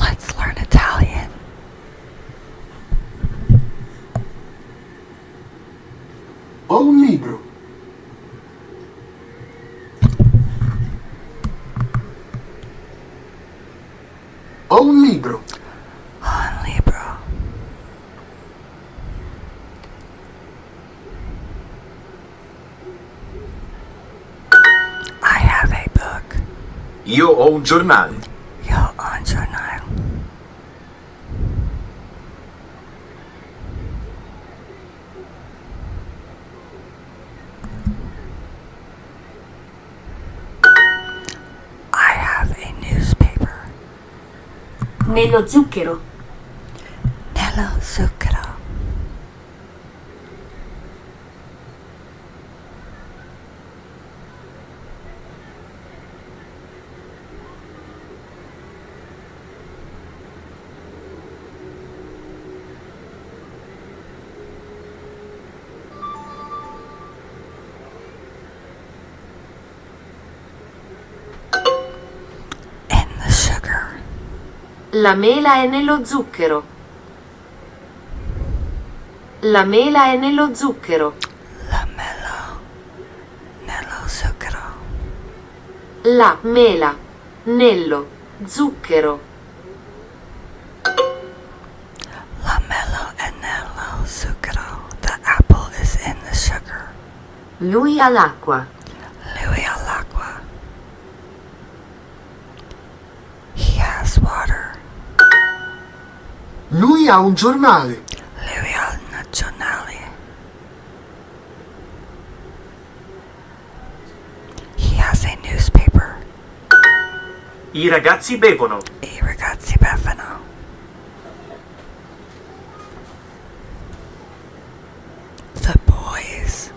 Let's learn Italian. Ho un libro. Ho un libro. Ho libro. I have a book. Io ho un giornale. Io ho un giornale. I have a newspaper. Nello zucchero. Nello zucchero and the sugar. La mela è nello zucchero. La mela è nello zucchero. La mela nello zucchero. La mela nello zucchero. La mela The apple is in the sugar. Lui all'acqua. Lui He has water. Lui ha un giornale. He has a newspaper. I ragazzi bevono. I ragazzi bevono. The boys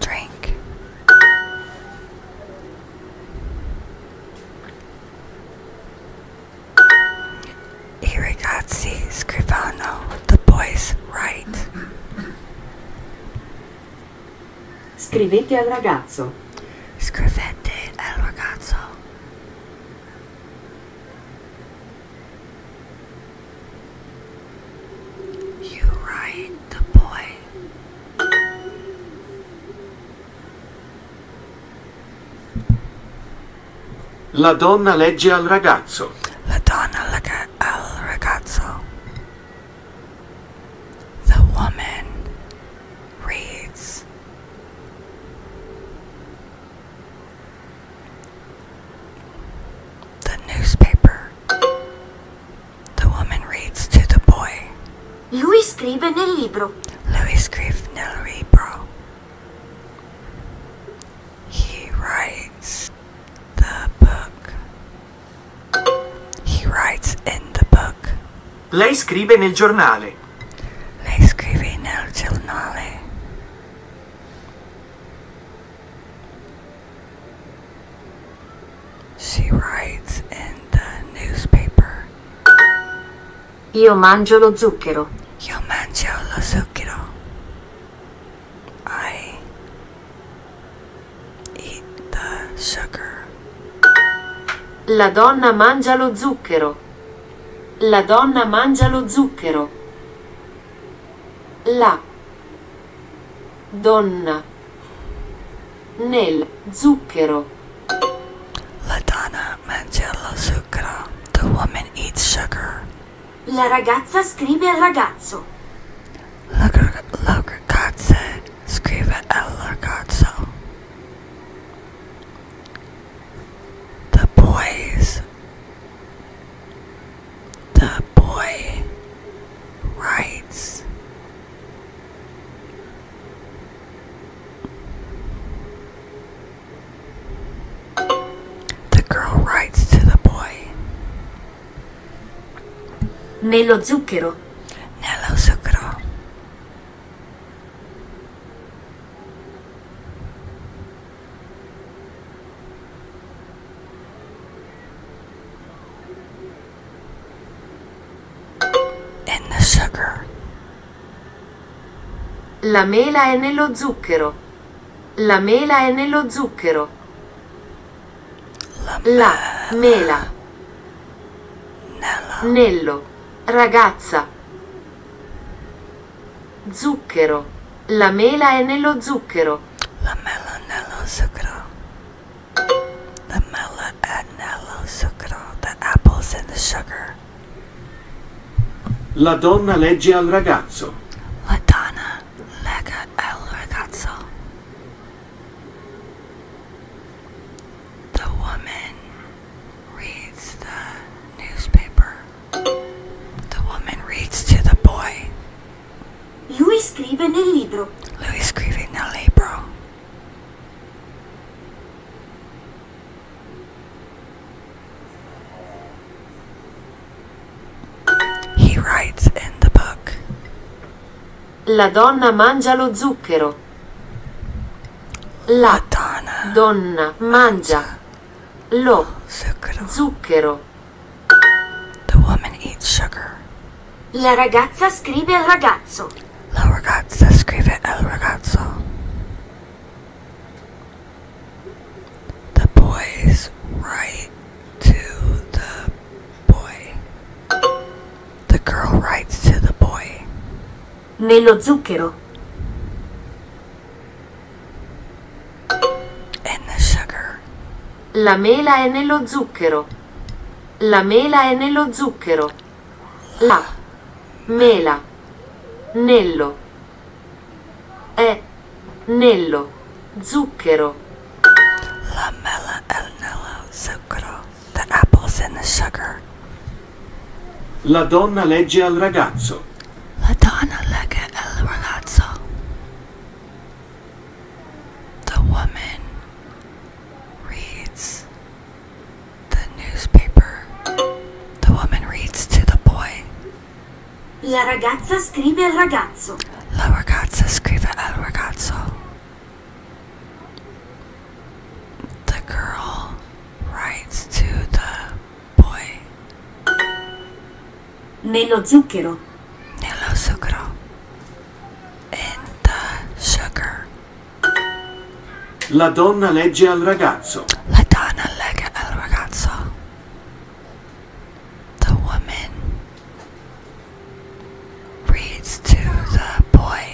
drink. I ragazzi scrivano. The boys write. Scrivete al ragazzo. Scrivete al ragazzo. You write the boy. La donna legge al ragazzo. La donna legge al ragazzo. The woman reads the newspaper. The woman reads to the boy. Lui He writes the book. He writes in the book. Lei scrive nel giornale. Lei scrive nel giornale. She writes in the newspaper. Io mangio lo zucchero. Io mangio lo zucchero. I Eat the sugar. La donna mangia lo zucchero. La donna mangia lo zucchero. La donna nel zucchero. La donna mangia lo zucchero. The woman eats sugar. La ragazza scrive al ragazzo. L'aggrocazze scrive El Ragazzo. The boys, the boy writes. The girl writes to the boy. Nello zucchero. Nello zucchero. In the sugar. La mela è nello zucchero. La mela è nello zucchero. La, la mela. Nella. Nello. Ragazza. Zucchero. La mela è nello zucchero. La mela nello zucchero. The mela è nello zucchero. The apples in the sugar. La donna legge al ragazzo. La donna Lega El Ragazzo. The woman reads the newspaper. The woman reads to the boy. Lui scrive nel libro. Lui scrive nel libro. He writes in the book. La donna mangia lo zucchero. La, La donna, donna mangia, mangia lo zucchero. zucchero. The woman eats sugar. La ragazza scrive al ragazzo. La ragazza scrive al ragazzo the boys write to the boy. The girl writes to the boy. Nello zucchero. And the sugar. La mela è nello zucchero. La mela è nello zucchero. La mela. Nello. è nello zucchero the apples and the sugar la donna legge al ragazzo the woman reads the newspaper the woman reads to the boy La ragazza scrive al ragazzo. La ragazza scrive al ragazzo. The girl writes to the boy. Nello zucchero. Nello zucchero. In the sugar. La donna legge al ragazzo. La donna legge al ragazzo. The woman reads to the boy.